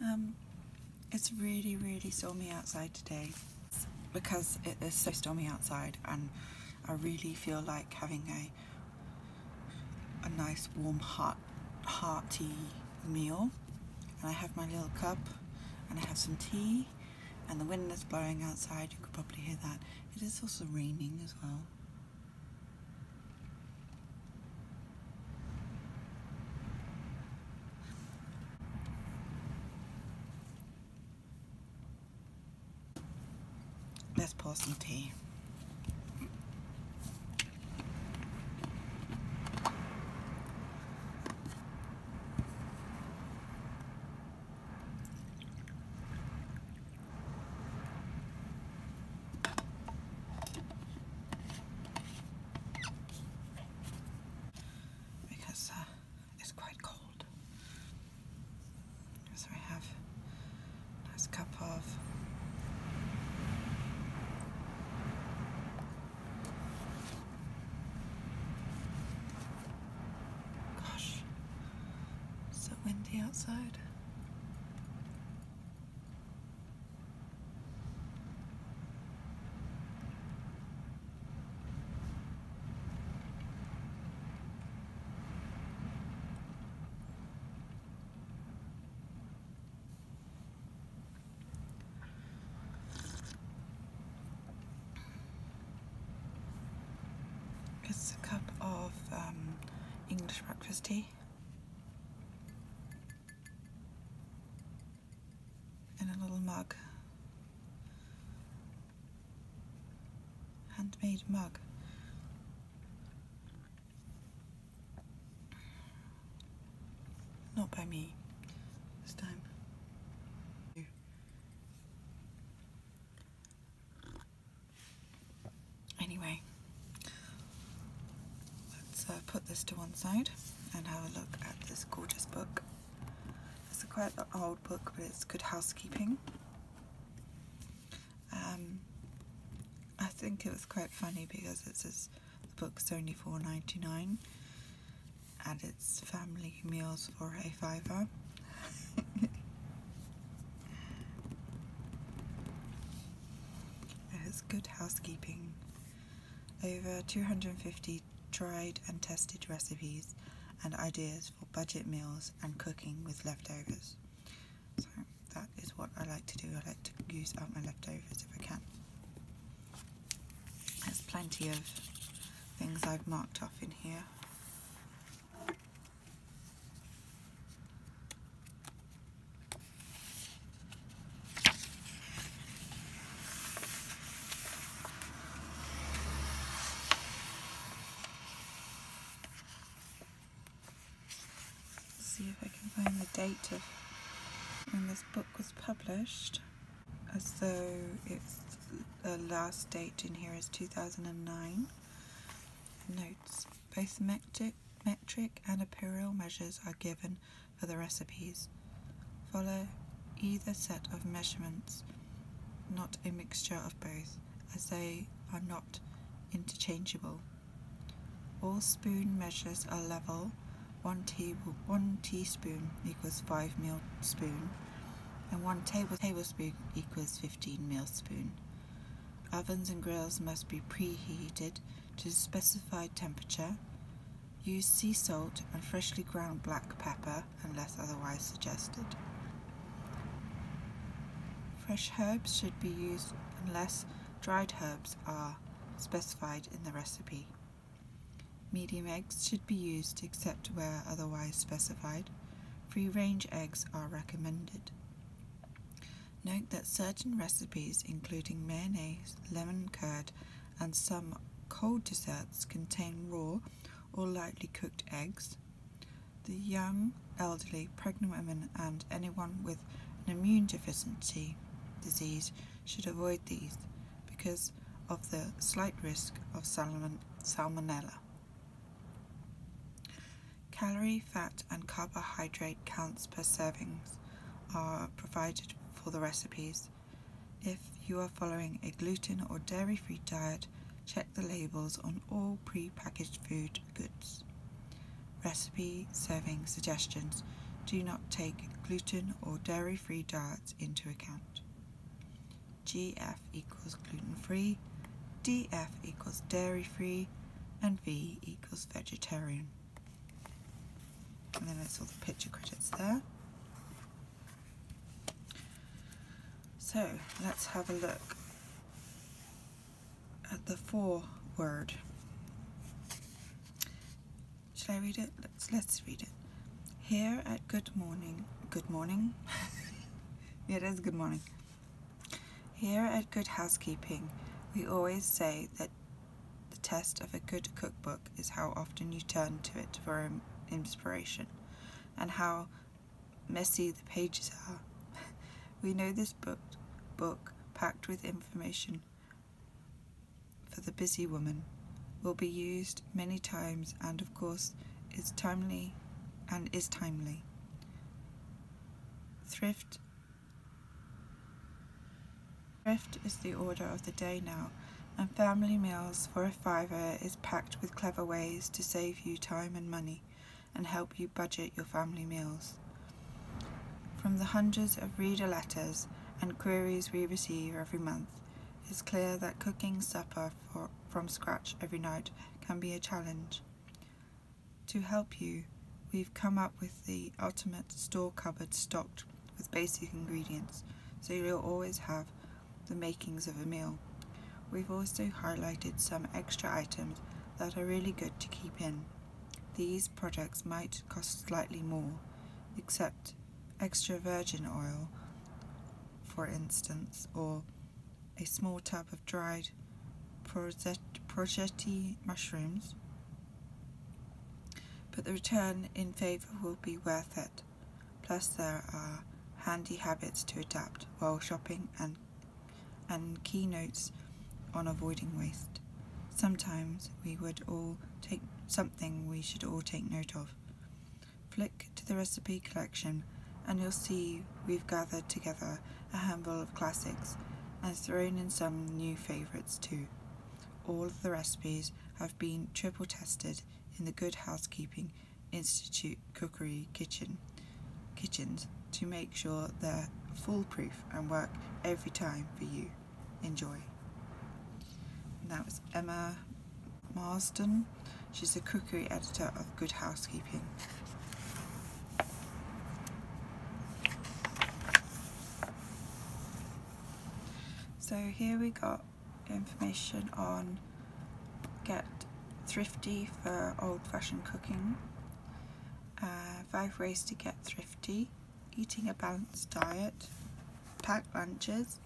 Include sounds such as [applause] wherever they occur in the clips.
Um, it's really, really stormy outside today because it is so stormy outside and I really feel like having a a nice warm hot hearty meal and I have my little cup and I have some tea and the wind is blowing outside you could probably hear that it is also raining as well Let's pour some tea because uh, it's quite cold. So I have a nice cup of gosh, so windy outside. It's a cup of um, English breakfast tea in a little mug. Handmade mug. Not by me this time. Anyway, let's uh, put this to one side and have a look at this gorgeous book. It's a quite old book, but it's good housekeeping. Um, I think it was quite funny because it says the book's only four ninety nine, and it's family meals for a fiver. [laughs] it is good housekeeping. Over 250 tried and tested recipes and ideas for budget meals and cooking with leftovers. So that is what I like to do. I like to use up my leftovers if I can. There's plenty of things I've marked off in here see if I can find the date of when this book was published as though it's the last date in here is 2009 notes both metric metric and imperial measures are given for the recipes. Follow either set of measurements, not a mixture of both, as they are not interchangeable. All spoon measures are level. One, table, one teaspoon equals 5 meal spoon, and one table, tablespoon equals 15 meal spoon. Ovens and grills must be preheated to the specified temperature. Use sea salt and freshly ground black pepper unless otherwise suggested. Fresh herbs should be used unless dried herbs are specified in the recipe. Medium eggs should be used except where otherwise specified. Free range eggs are recommended. Note that certain recipes, including mayonnaise, lemon curd, and some cold desserts, contain raw or lightly cooked eggs. The young, elderly, pregnant women, and anyone with an immune deficiency disease should avoid these because of the slight risk of salmonella. Calorie, fat, and carbohydrate counts per servings are provided for the recipes. If you are following a gluten or dairy-free diet, check the labels on all pre-packaged food goods. Recipe serving suggestions do not take gluten or dairy-free diets into account. GF equals gluten-free, DF equals dairy-free, and V equals vegetarian. And then it's all the picture credits there. So let's have a look at the word. Should I read it? Let's, let's read it. Here at Good Morning, Good Morning? [laughs] yeah, it is Good Morning. Here at Good Housekeeping, we always say that the test of a good cookbook is how often you turn to it for inspiration, and how messy the pages are. [laughs] we know this book, book packed with information for the busy woman will be used many times and of course is timely and is timely. Thrift Drift is the order of the day now, and family meals for a fiver is packed with clever ways to save you time and money and help you budget your family meals. From the hundreds of reader letters and queries we receive every month, it's clear that cooking supper from scratch every night can be a challenge. To help you, we've come up with the ultimate store cupboard stocked with basic ingredients, so you'll always have the makings of a meal. We've also highlighted some extra items that are really good to keep in. These products might cost slightly more, except extra virgin oil, for instance, or a small tub of dried progetti mushrooms but the return in favour will be worth it. Plus, there are handy habits to adapt while shopping and, and keynotes on avoiding waste. Sometimes we would all take something we should all take note of. Flick to the recipe collection and you'll see we've gathered together a handful of classics and thrown in some new favourites too. All of the recipes have been triple tested in the Good Housekeeping Institute cookery kitchen kitchens to make sure they're foolproof and work every time for you. Enjoy. that was Emma Marsden. She's the cookery editor of Good Housekeeping. So here we got information on get thrifty for old-fashioned cooking, uh, five ways to get thrifty, eating a balanced diet, packed lunches,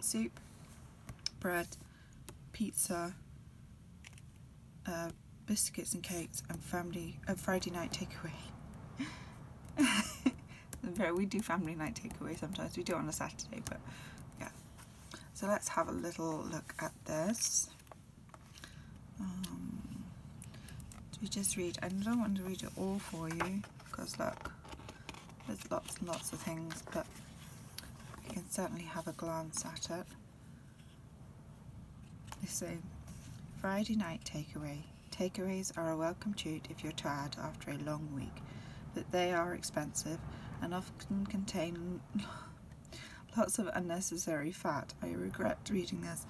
soup, bread, pizza, uh, biscuits and cakes and family and uh, Friday night takeaway. [laughs] [laughs] we do family night takeaway sometimes. We do it on a Saturday, but yeah. So let's have a little look at this. Um, we just read? I don't want to read it all for you because look, there's lots and lots of things, but you can certainly have a glance at it. They say Friday night takeaway. Takeaways are a welcome treat if you're tired after a long week, but they are expensive and often contain [laughs] lots of unnecessary fat. I regret reading this.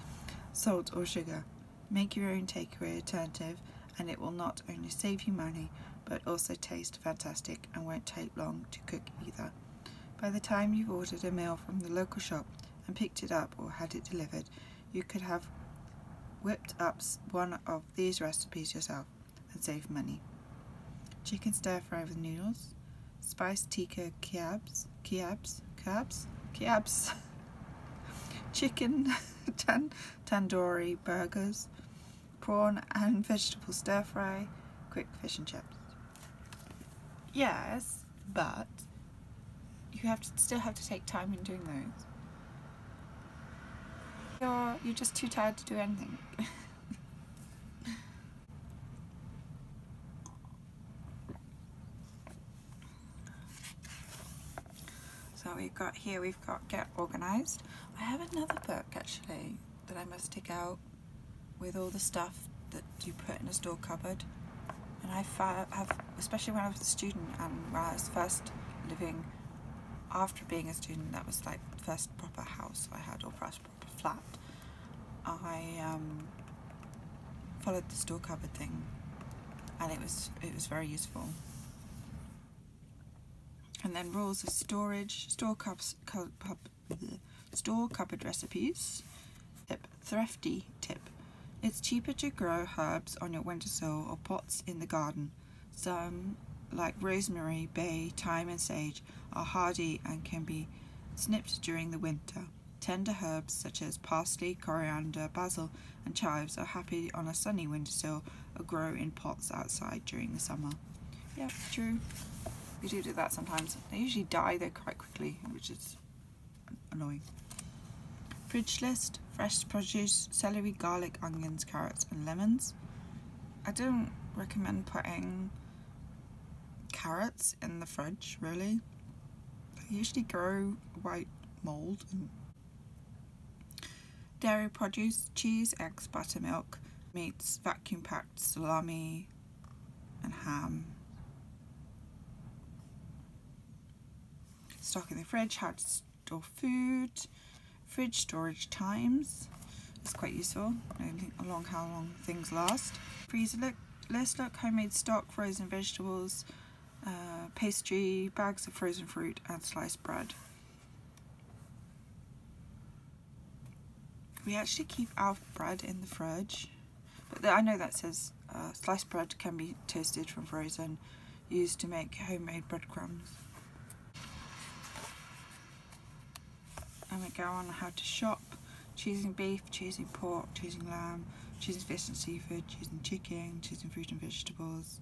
Salt or sugar. Make your own takeaway alternative and it will not only save you money but also taste fantastic and won't take long to cook either. By the time you've ordered a meal from the local shop and picked it up or had it delivered, you could have whipped up one of these recipes yourself and save money. Chicken stir fry with noodles, spiced tikka kebabs, kebabs, kebabs, kebabs, [laughs] chicken [laughs] tandoori burgers, prawn and [laughs] vegetable stir fry, quick fish and chips. Yes, but you have to still have to take time in doing those. You're, you're just too tired to do anything. [laughs] so we've got here, we've got Get Organised. I have another book actually that I must take out with all the stuff that that you put in a store cupboard. And I have, especially when I was a student and when I was first living, after being a student, that was like first proper house I had or first proper flat. I um, followed the store cupboard thing, and it was it was very useful. And then rules of storage, store cups, cup, store cupboard recipes tip, thrifty tip. It's cheaper to grow herbs on your windowsill or pots in the garden. Some, like rosemary, bay, thyme and sage, are hardy and can be snipped during the winter. Tender herbs such as parsley, coriander, basil and chives are happy on a sunny windowsill or grow in pots outside during the summer. Yeah, true. We do do that sometimes. They usually die though quite quickly, which is annoying. Fridge list, fresh produce, celery, garlic, onions, carrots and lemons. I don't recommend putting carrots in the fridge really. They usually grow white mould. Dairy produce, cheese, eggs, buttermilk, meats, vacuum packed salami and ham. Stock in the fridge, how to store food, fridge storage times. It's quite useful, along how long things last. Freezer look, list look, homemade stock, frozen vegetables, uh, pastry, bags of frozen fruit and sliced bread. We actually keep our bread in the fridge but I know that says uh, sliced bread can be toasted from frozen, used to make homemade breadcrumbs. And we go on how to shop, choosing beef, choosing pork, choosing lamb, choosing fish and seafood, choosing chicken, choosing fruit and vegetables,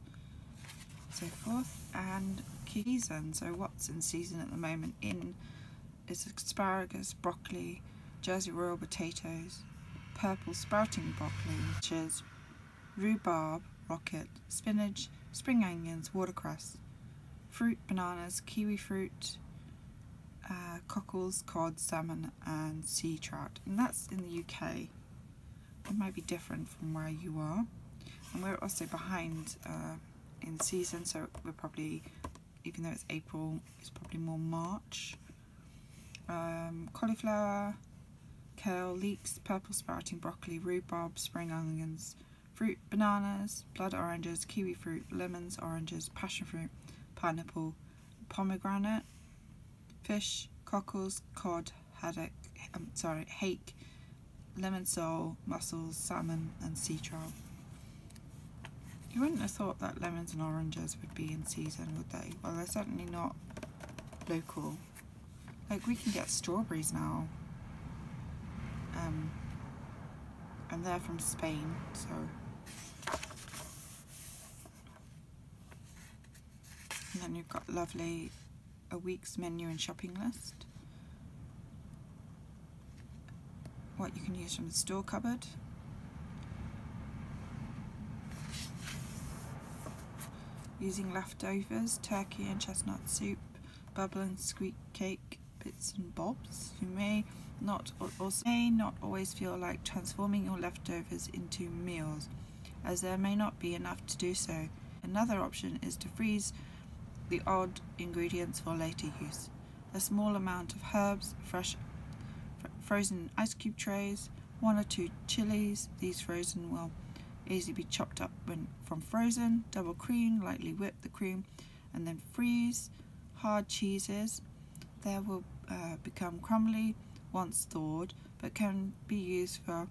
so forth. And season, so what's in season at the moment in is asparagus, broccoli, Jersey royal potatoes, purple sprouting broccoli, which is rhubarb, rocket, spinach, spring onions, watercress, fruit, bananas, kiwi fruit, uh, cockles, cod, salmon and sea trout. And that's in the UK. It might be different from where you are. And we're also behind uh, in season, so we're probably, even though it's April, it's probably more March um, cauliflower, kale, leeks, purple sprouting broccoli, rhubarb, spring onions, fruit, bananas, blood oranges, kiwi fruit, lemons, oranges, passion fruit, pineapple, pomegranate, fish, cockles, cod, haddock, um, sorry, hake, lemon sole, mussels, salmon and sea trout. You wouldn't have thought that lemons and oranges would be in season, would they? Well, they're certainly not local. Like, we can get strawberries now. Um, and they're from Spain, so... And then you've got lovely a week's menu and shopping list. What you can use from the store cupboard. Using leftovers, turkey and chestnut soup, bubble and squeak cake, bits and bobs, you may not may not always feel like transforming your leftovers into meals, as there may not be enough to do so. Another option is to freeze the odd ingredients for later use. A small amount of herbs, fresh frozen ice cube trays, one or two chilies. These frozen will easily be chopped up when, from frozen, double cream, lightly whip the cream, and then freeze. Hard cheeses, they will uh, become crumbly once thawed, but can be used for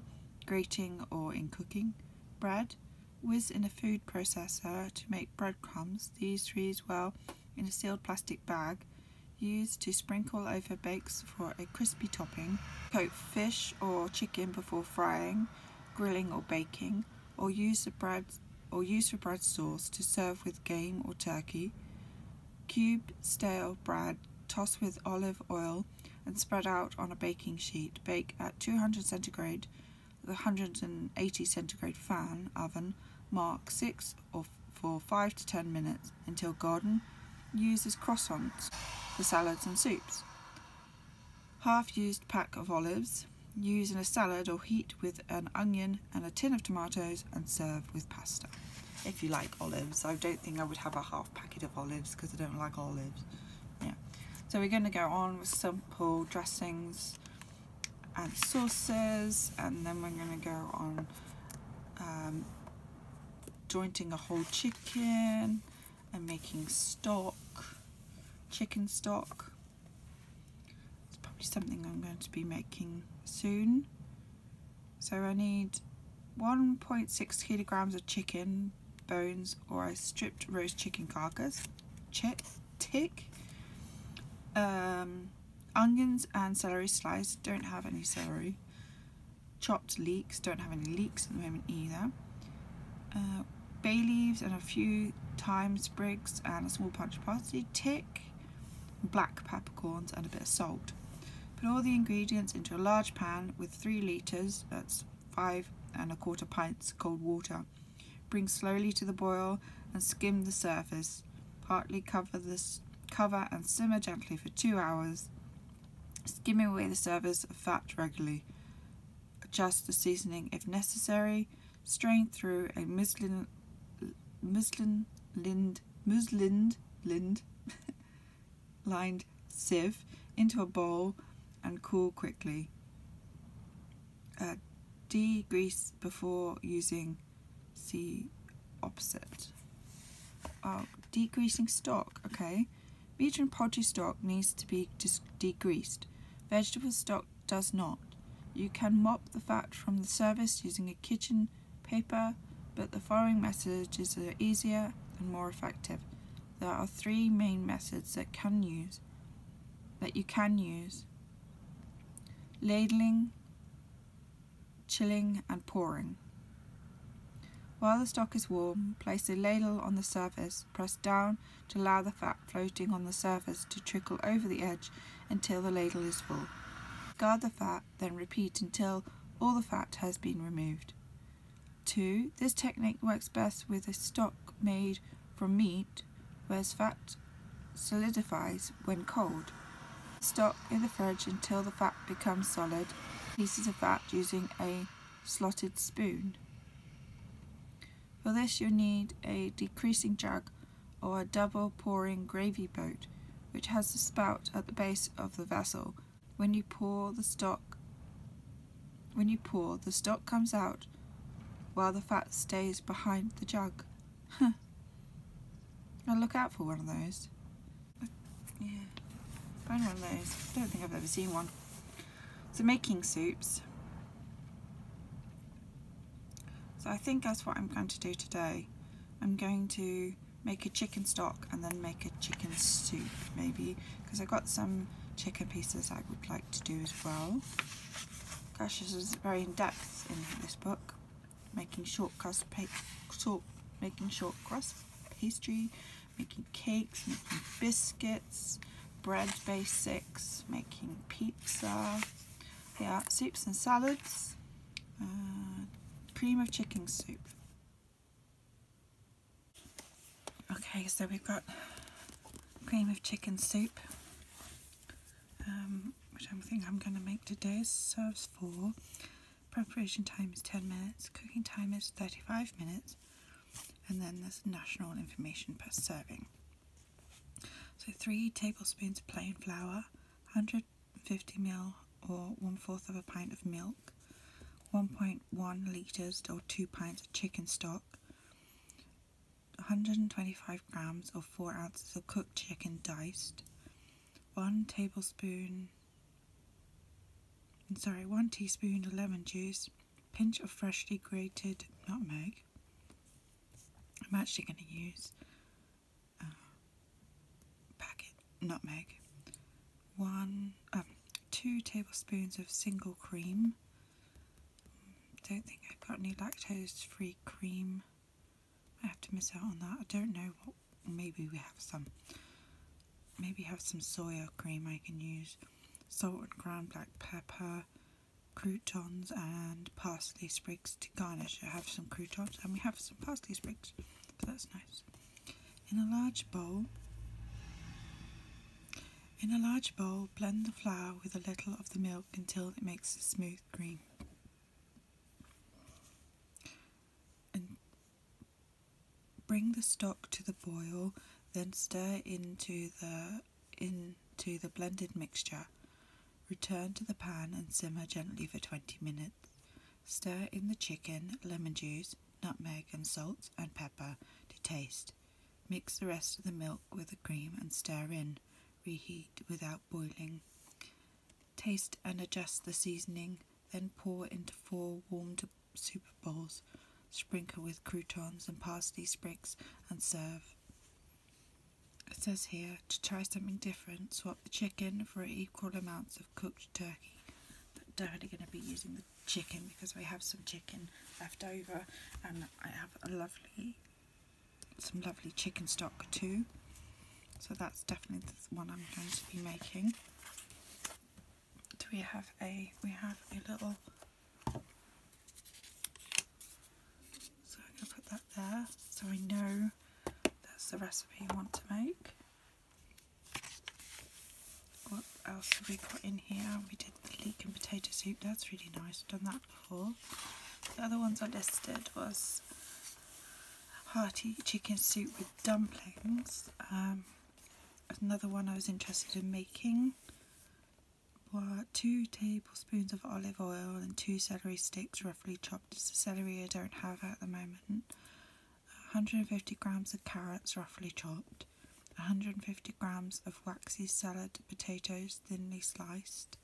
grating or in cooking. Bread, whiz in a food processor to make breadcrumbs. These freeze well in a sealed plastic bag used to sprinkle over bakes for a crispy topping, coat fish or chicken before frying, grilling or baking, or use, the bread, or use for bread sauce to serve with game or turkey, Cube stale bread toss with olive oil and spread out on a baking sheet. Bake at 200 centigrade, the 180 centigrade fan oven, mark 6 or for, 5 to 10 minutes until golden. Used as croissants for salads and soups. Half used pack of olives. Use in a salad or heat with an onion and a tin of tomatoes and serve with pasta. If you like olives, I don't think I would have a half packet of olives because I don't like olives. Yeah. So we're going to go on with simple dressings add sauces, and then we're going to go on um, jointing a whole chicken and making stock chicken stock it's probably something I'm going to be making soon so I need 1.6 kilograms of chicken bones or I stripped roast chicken carcass Check tick um, Onions and celery sliced don't have any celery. Chopped leeks don't have any leeks at the moment either. Uh, bay leaves and a few thyme sprigs and a small punch of parsley, tick, black peppercorns and a bit of salt. Put all the ingredients into a large pan with 3 litres, that's 5 and a quarter pints cold water. Bring slowly to the boil and skim the surface Partly cover this cover and simmer gently for two hours, skimming away the surface fat regularly. Adjust the seasoning if necessary. Strain through a muslin, muslin, lind, muslin, lind, [laughs] lined sieve into a bowl and cool quickly. Uh, degrease before using see opposite. Oh, decreasing stock, okay. Meat and poultry stock needs to be degreased. Vegetable stock does not. You can mop the fat from the surface using a kitchen paper, but the following methods are easier and more effective. There are three main methods that can use that you can use. Ladling, chilling and pouring. While the stock is warm, place a ladle on the surface, press down to allow the fat floating on the surface to trickle over the edge until the ladle is full. Guard the fat, then repeat until all the fat has been removed. 2. This technique works best with a stock made from meat, whereas fat solidifies when cold. Stock in the fridge until the fat becomes solid, pieces of fat using a slotted spoon. For this you'll need a decreasing jug or a double pouring gravy boat which has a spout at the base of the vessel. When you pour the stock when you pour the stock comes out while the fat stays behind the jug. Huh. I'll look out for one of those. Yeah. Find one of those. don't think I've ever seen one. So making soups. So I think that's what I'm going to do today. I'm going to make a chicken stock and then make a chicken soup maybe because I have got some chicken pieces I would like to do as well. Gosh, this is very in-depth in this book making short crust short, making short crust pastry, making cakes, making biscuits, bread basics, making pizza, yeah, soups and salads, uh, cream of chicken soup. Okay, so we've got cream of chicken soup. Um, which I am think I'm going to make today, serves four. Preparation time is 10 minutes, cooking time is 35 minutes, and then there's national information per serving. So, three tablespoons plain flour, 150 ml or one fourth of a pint of milk, 1.1 litres or two pints of chicken stock, 125 grams or 4 ounces of cooked chicken diced, 1 tablespoon, sorry, 1 teaspoon of lemon juice, pinch of freshly grated nutmeg. I'm actually going to use uh, packet nutmeg, 1, um, 2 tablespoons of single cream. Don't think I've got any lactose free cream I have to miss out on that. I don't know what. Maybe we have some. Maybe have some soya cream I can use. Salt and ground black pepper, croutons, and parsley sprigs to garnish. I have some croutons and we have some parsley sprigs, that's nice. In a large bowl, in a large bowl, blend the flour with a little of the milk until it makes a smooth cream and bring the stock to the boil then stir into the into the blended mixture return to the pan and simmer gently for 20 minutes stir in the chicken lemon juice nutmeg and salt and pepper to taste mix the rest of the milk with the cream and stir in reheat without boiling Taste and adjust the seasoning, then pour into four warmed soup bowls. Sprinkle with croutons and parsley sprigs and serve. It says here to try something different, swap the chicken for equal amounts of cooked turkey. But definitely going to be using the chicken because we have some chicken left over and I have a lovely some lovely chicken stock too. So that's definitely the one I'm going to be making. Do we have a, we have a little, so I'm going to put that there so I know that's the recipe I want to make. What else have we got in here? We did the leek and potato soup, that's really nice, I've done that before. The other ones I listed was hearty chicken soup with dumplings. Um, another one I was interested in making were two tablespoons of olive oil and two celery sticks roughly chopped. It's celery I don't have at the moment. 150 grams of carrots roughly chopped. 150 grams of waxy salad potatoes thinly sliced.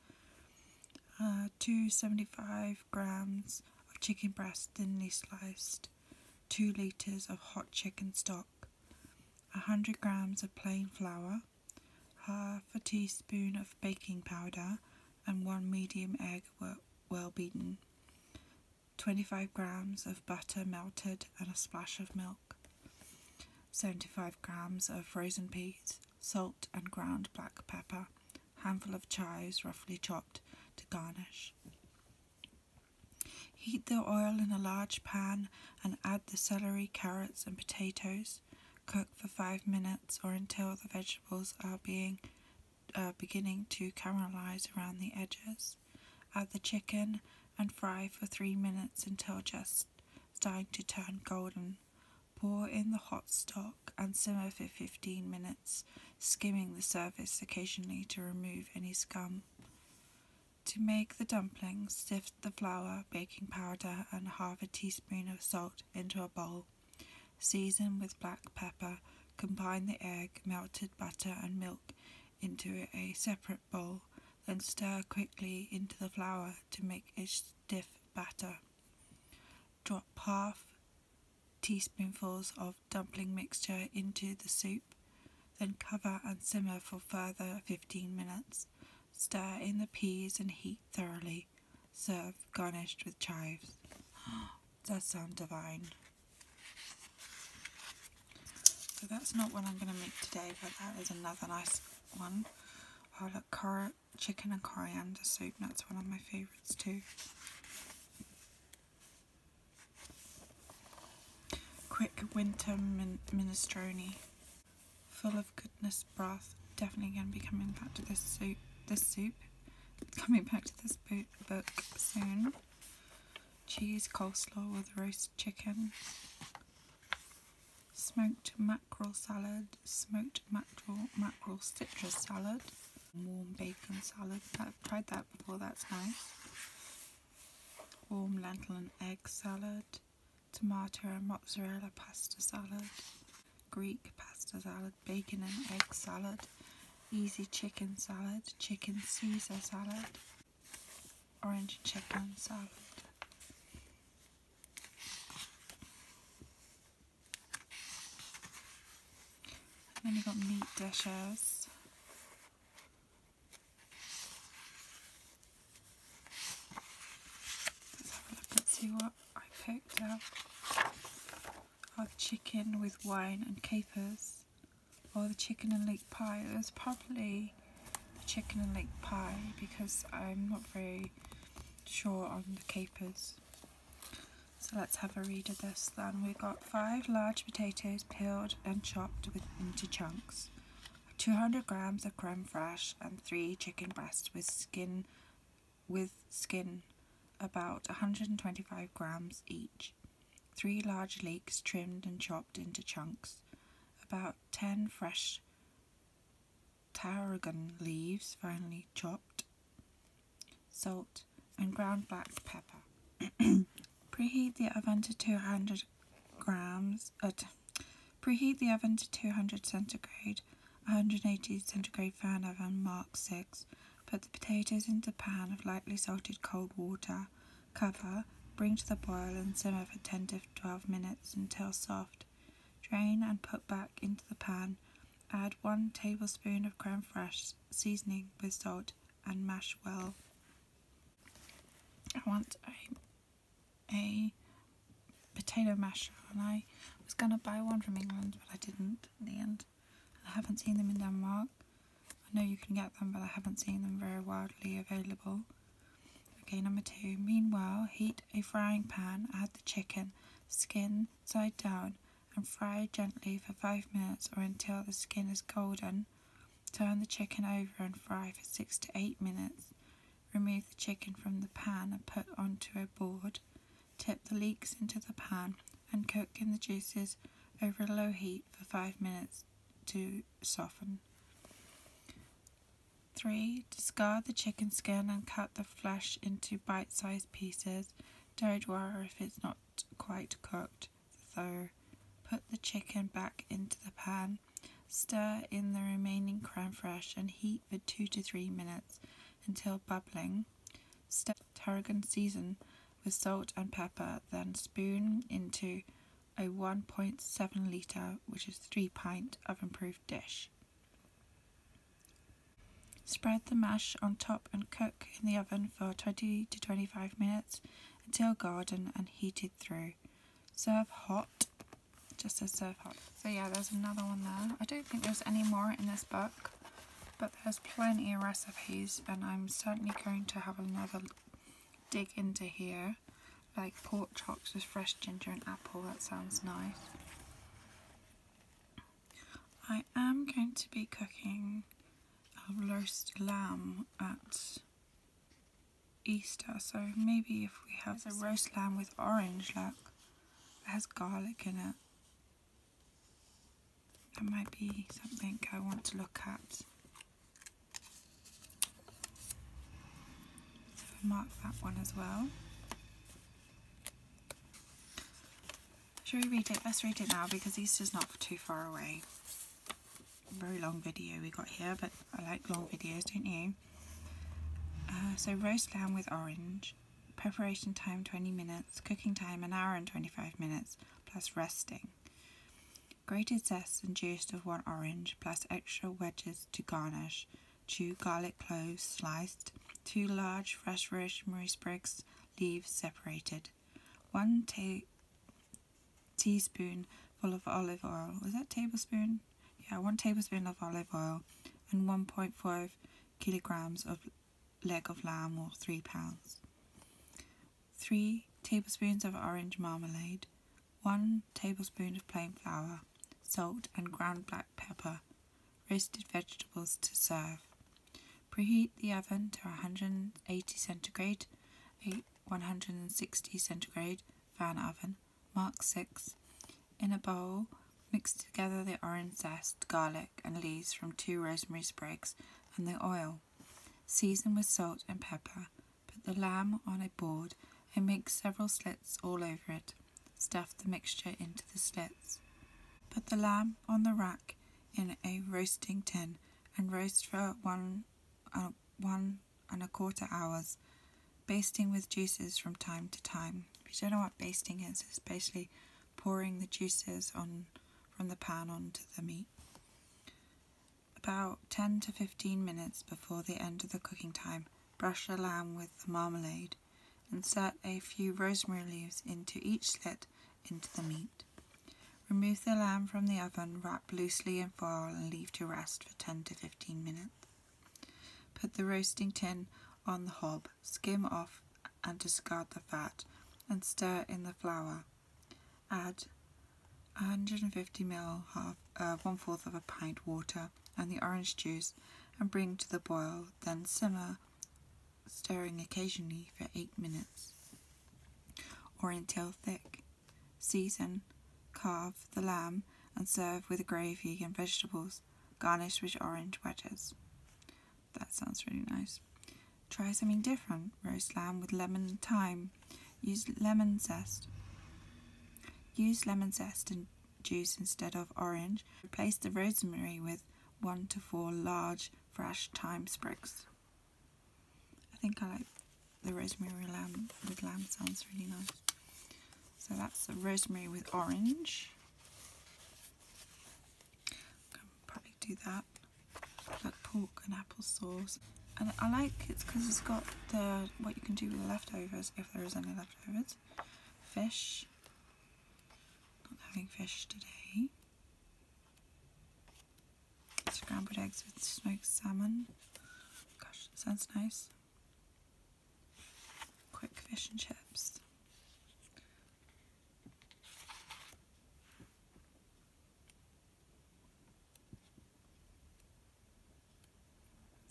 Uh, 275 grams of chicken breast thinly sliced, 2 litres of hot chicken stock, 100 grams of plain flour, half a teaspoon of baking powder, and one medium egg well beaten, 25 grams of butter melted, and a splash of milk, 75 grams of frozen peas, salt, and ground black pepper handful of chives roughly chopped to garnish. Heat the oil in a large pan and add the celery, carrots, and potatoes. Cook for five minutes or until the vegetables are being uh, beginning to caramelize around the edges. Add the chicken and fry for three minutes until just starting to turn golden. Pour in the hot stock and simmer for 15 minutes, skimming the surface occasionally to remove any scum. To make the dumplings, sift the flour, baking powder, and half a teaspoon of salt into a bowl. Season with black pepper, combine the egg, melted butter, and milk into a separate bowl, then stir quickly into the flour to make a stiff batter. Drop half teaspoonfuls of dumpling mixture into the soup, then cover and simmer for further 15 minutes. Stir in the peas and heat thoroughly. Serve garnished with chives. [gasps] does sound divine. So that's not what I'm going to make today, but that is another nice one. I'll look currant chicken and coriander soup, that's one of my favourites too. Quick winter minestrone, full of goodness broth. Definitely going to be coming back to this soup. This soup, coming back to this book soon. Cheese coleslaw with roast chicken, smoked mackerel salad, smoked mackerel mackerel, mackerel citrus salad, warm bacon salad. I've tried that before, that's nice. Warm lentil and egg salad, tomato and mozzarella pasta salad, Greek pasta salad, bacon and egg salad, easy chicken salad, chicken Caesar salad, orange chicken salad then you've got meat dishes. Let's have a look and see what I picked up. i chicken with wine and capers. Or the chicken and leek pie. It was probably the chicken and leek pie because I'm not very sure on the capers. So let's have a read of this then. We've got five large potatoes peeled and chopped into chunks, 200 grams of creme fraiche and three chicken breasts with skin, with skin about 125 grams each, three large leeks trimmed and chopped into chunks, about 10 fresh tarragon leaves, finely chopped, salt, and ground black pepper. [clears throat] preheat the oven to 200 grams. Uh, preheat the oven to 200 centigrade, 180 centigrade fan oven, mark 6. Put the potatoes into a pan of lightly salted cold water. Cover, bring to the boil and simmer for 10 to 12 minutes until soft. Drain and put back into the pan Add 1 tablespoon of cream fresh seasoning with salt, and mash well. I want a, a potato masher, and I was going to buy one from England, but I didn't in the end. I haven't seen them in Denmark. I know you can get them, but I haven't seen them very widely available. Okay, number two. Meanwhile, heat a frying pan, add the chicken, skin, side down and fry gently for 5 minutes or until the skin is golden. Turn the chicken over and fry for 6 to 8 minutes. Remove the chicken from the pan and put onto a board. Tip the leeks into the pan and cook in the juices over a low heat for 5 minutes to soften. 3. Discard the chicken skin and cut the flesh into bite sized pieces. Don't worry if it's not quite cooked, though. Put the chicken back into the pan. Stir in the remaining creme fraiche and heat for 2 to 3 minutes until bubbling. Stir tarragon season with salt and pepper, then spoon into a 1.7 litre, which is 3 pint of improved dish. Spread the mash on top and cook in the oven for 20 to 25 minutes until golden and heated through. Serve hot, just says serve hot. So yeah, there's another one there. I don't think there's any more in this book, but there's plenty of recipes and I'm certainly going to have another dig into here. Like pork chops with fresh ginger and apple, that sounds nice. I am going to be cooking a um, roast lamb at Easter, so maybe if we have There's a roast lamb with orange, look, it has garlic in it. That might be something I want to look at. mark that one as well. Should we read it? Let's read it now because Easter's not too far away. Very long video we got here, but I like long videos, don't you? Uh, so roast lamb with orange. Preparation time 20 minutes. Cooking time an hour and 25 minutes, plus resting. Grated zest and juice of one orange, plus extra wedges to garnish. 2 garlic cloves sliced, 2 large fresh rosemary sprigs, leaves separated, 1 teaspoonful of olive oil. Was that tablespoon? Yeah, 1 tablespoon of olive oil and 1.5 kilograms of leg of lamb or 3 pounds. 3 tablespoons of orange marmalade, 1 tablespoon of plain flour, salt, and ground black pepper. Roasted vegetables to serve. Preheat the oven to 180 centigrade, 160 centigrade fan oven, mark 6. In a bowl, mix together the orange zest, garlic, and leaves from two rosemary sprigs and the oil. Season with salt and pepper. Put the lamb on a board and make several slits all over it. Stuff the mixture into the slits. Put the lamb on the rack in a roasting tin and roast for one, uh, one and a quarter hours, basting with juices from time to time. If you don't know what basting is, it's basically pouring the juices on from the pan onto the meat. About 10 to 15 minutes before the end of the cooking time, brush the lamb with the marmalade Insert a few rosemary leaves into each slit into the meat. Remove the lamb from the oven, wrap loosely in foil and leave to rest for 10 to 15 minutes. Put the roasting tin on the hob, skim off and discard the fat and stir in the flour. Add 150 ml, half, uh, one fourth of a pint water, and the orange juice and bring to the boil, then simmer, stirring occasionally for 8 minutes or until thick. Season, carve the lamb and serve with gravy and vegetables, garnished with orange wedges. That sounds really nice. Try something different. Roast lamb with lemon thyme. Use lemon zest. Use lemon zest and juice instead of orange. Replace the rosemary with one to four large fresh thyme sprigs. I think I like the rosemary lamb with lamb sounds really nice. So that's the rosemary with orange. can probably do that. Like pork and apple sauce. And I like it because it's got the what you can do with leftovers if there is any leftovers. Fish, not having fish today. Scrambled eggs with smoked salmon. Gosh, that sounds nice. Quick fish and chips.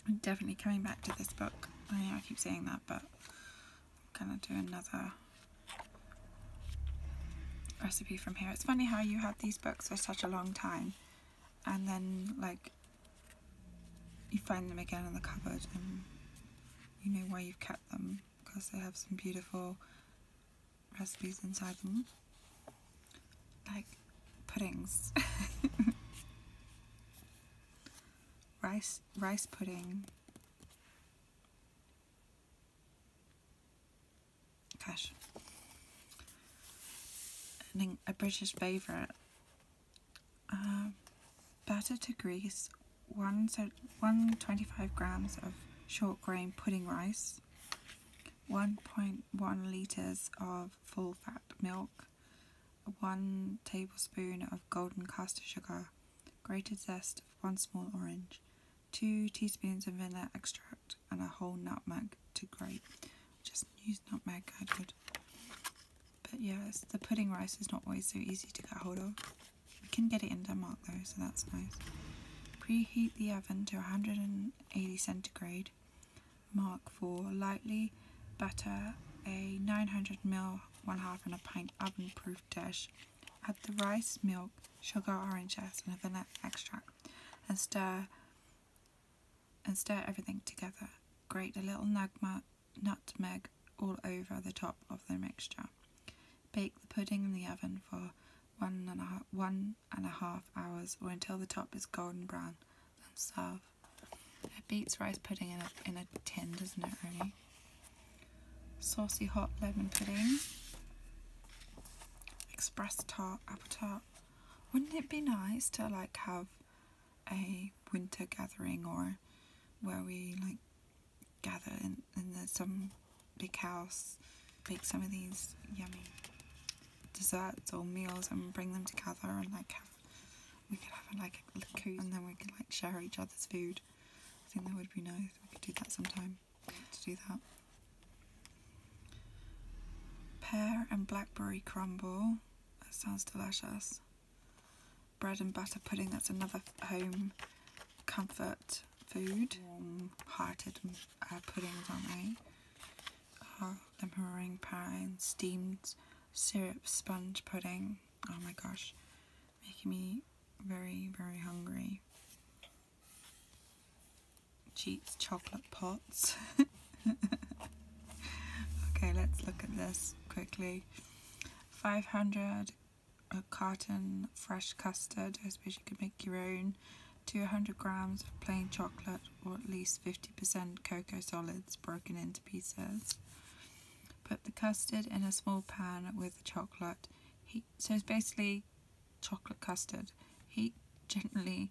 I'm definitely coming back to this book. I keep saying that, but I'm going to do another recipe from here. It's funny how you had these books for such a long time and then like you find them again in the cupboard and you know why you've kept them because they have some beautiful recipes inside them like puddings [laughs] rice rice, pudding. Gosh. a British favourite. Uh, batter to grease one so 125 grams of short grain pudding rice, 1.1 litres of full fat milk, 1 tablespoon of golden caster sugar, grated zest of 1 small orange, 2 teaspoons of vanilla extract, and a whole nutmeg to grate. Just use nutmeg, I could. But yes, the pudding rice is not always so easy to get hold of. You can get it in Denmark though, so that's nice. Preheat the oven to 180 centigrade. Mark for lightly butter a 900ml one half in a pint oven proof dish. Add the rice, milk, sugar, orange zest, and vanilla extract, and stir and stir everything together. Grate a little nugma, nutmeg all over the top of the mixture. Bake the pudding in the oven for one and a half, one and a half hours or until the top is golden brown. Then serve. It beats rice pudding in a, in a tin, doesn't it, really? Saucy hot lemon pudding. Express tart, apple tart. Wouldn't it be nice to like have a winter gathering or where we like gather in, in some big house, make some of these yummy desserts or meals and bring them together and like have we could have like a little coos and then we could like share each other's food. I think that would be nice. We could do that sometime. To do that. Pear and blackberry crumble. That sounds delicious. Bread and butter pudding. That's another home comfort food. hearted mm, uh, puddings, aren't they? the uh, meringue pie and steamed syrup sponge pudding. Oh my gosh, making me very, very hungry. Cheats chocolate pots. [laughs] okay, let's look at this quickly. 500 a carton fresh custard. I suppose you could make your own. 200 grams of plain chocolate or at least 50% cocoa solids broken into pieces. Put the custard in a small pan with the chocolate. Heat, so it's basically chocolate custard. Heat gently,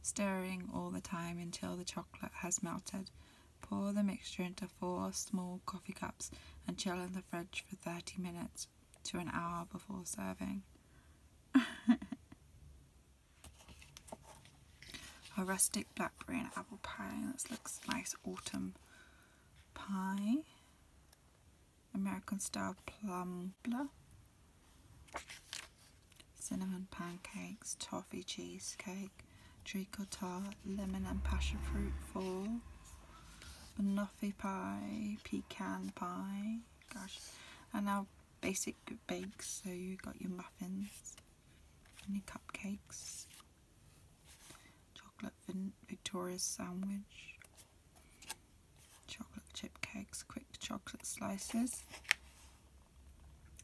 stirring all the time until the chocolate has melted. Pour the mixture into four small coffee cups and chill in the fridge for 30 minutes to an hour before serving. [laughs] A rustic blackberry and apple pie. This looks nice autumn pie. American style plum plumbler. Cinnamon pancakes, toffee cheesecake, treacle tart, lemon and passion fruit fall, Muffin pie, pecan pie, gosh, and now basic bakes, so you got your muffins and your cupcakes, chocolate Victoria's sandwich, chocolate chip cakes, quick chocolate slices.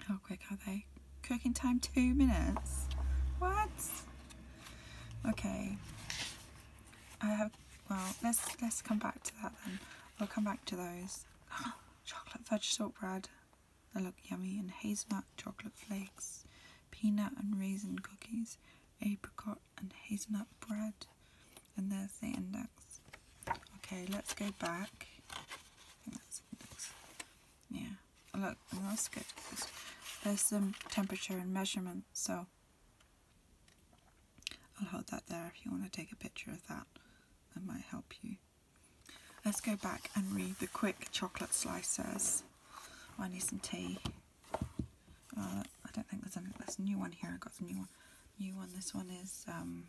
How quick are they? Cooking time two minutes. What? Okay. I have. Well, let's let's come back to that then. we will come back to those. [gasps] chocolate veggie salt bread. They look yummy and hazelnut chocolate flakes, peanut and raisin cookies, apricot and hazelnut bread. And there's the index. Okay, let's go back. Yeah. Look, I'm let's get this. There's some temperature and measurement, so I'll hold that there if you want to take a picture of that. That might help you. Let's go back and read the quick chocolate slices. I need some tea. Uh, I don't think there's, any, there's a new one here. I got some new one. New one. This one is um,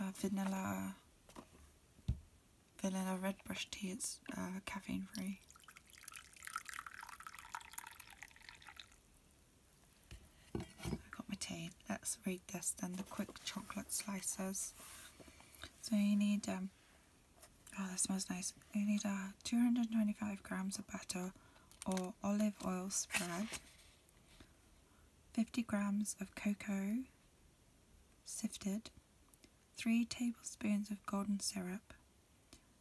uh, vanilla vanilla red brush tea. It's uh, caffeine free. I got my tea. Let's read this then. The quick chocolate slices. So you need, um, oh that smells nice, you need uh, 225 grams of butter or olive oil spread, 50 grams of cocoa sifted, 3 tablespoons of golden syrup,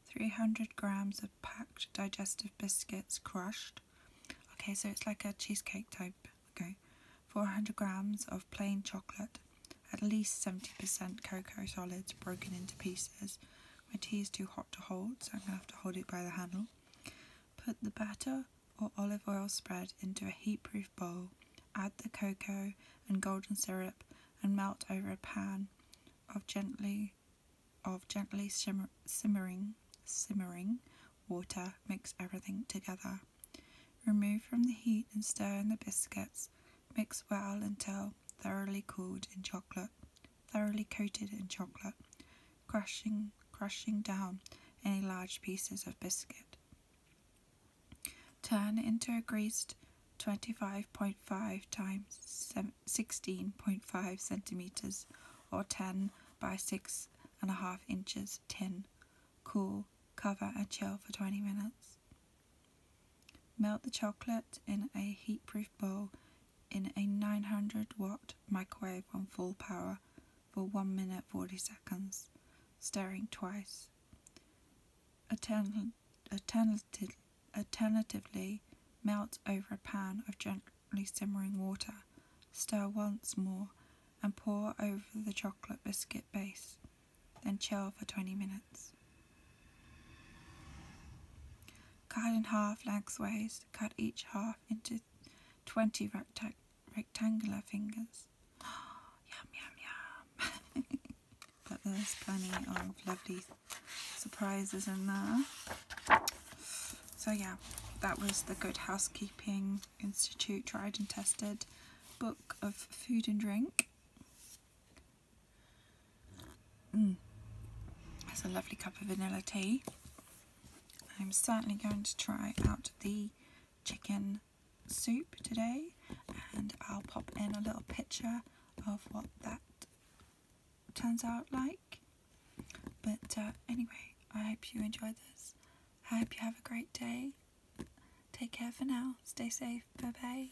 300 grams of packed digestive biscuits crushed. Okay, so it's like a cheesecake type okay, 400 grams of plain chocolate, at least 70% cocoa solids broken into pieces. My tea is too hot to hold, so I'm going to have to hold it by the handle. Put the batter or olive oil spread into a heat-proof bowl, add the cocoa and golden syrup, and melt over a pan of gently of gently simmering simmering water, mix everything together. Remove from the heat and stir in the biscuits. Mix well until thoroughly cooled in chocolate, thoroughly coated in chocolate, crushing, crushing down any large pieces of biscuit. Turn into a greased 25.5 times 16.5 centimeters or 10 by six and a half and inches tin cool, cover and chill for 20 minutes. Melt the chocolate in a heatproof bowl in a 900 watt microwave on full power for 1 minute 40 seconds, stirring twice. Altern alternative melt over a pan of gently simmering water, stir once more and pour over the chocolate biscuit base, then chill for 20 minutes. Cut in half lengthways, cut each half into 20 rectangular fingers. [gasps] yum, yum, yum. [laughs] but there's plenty of lovely surprises in there. So yeah, that was the good housekeeping Institute Tried and Tested Book of Food and Drink. Mm. That's a lovely cup of vanilla tea. I'm certainly going to try out the chicken soup today and I'll pop in a little picture of what that turns out like. But uh, anyway, I hope you enjoyed this. I hope you have a great day. Take care for now. Stay safe. Bye bye.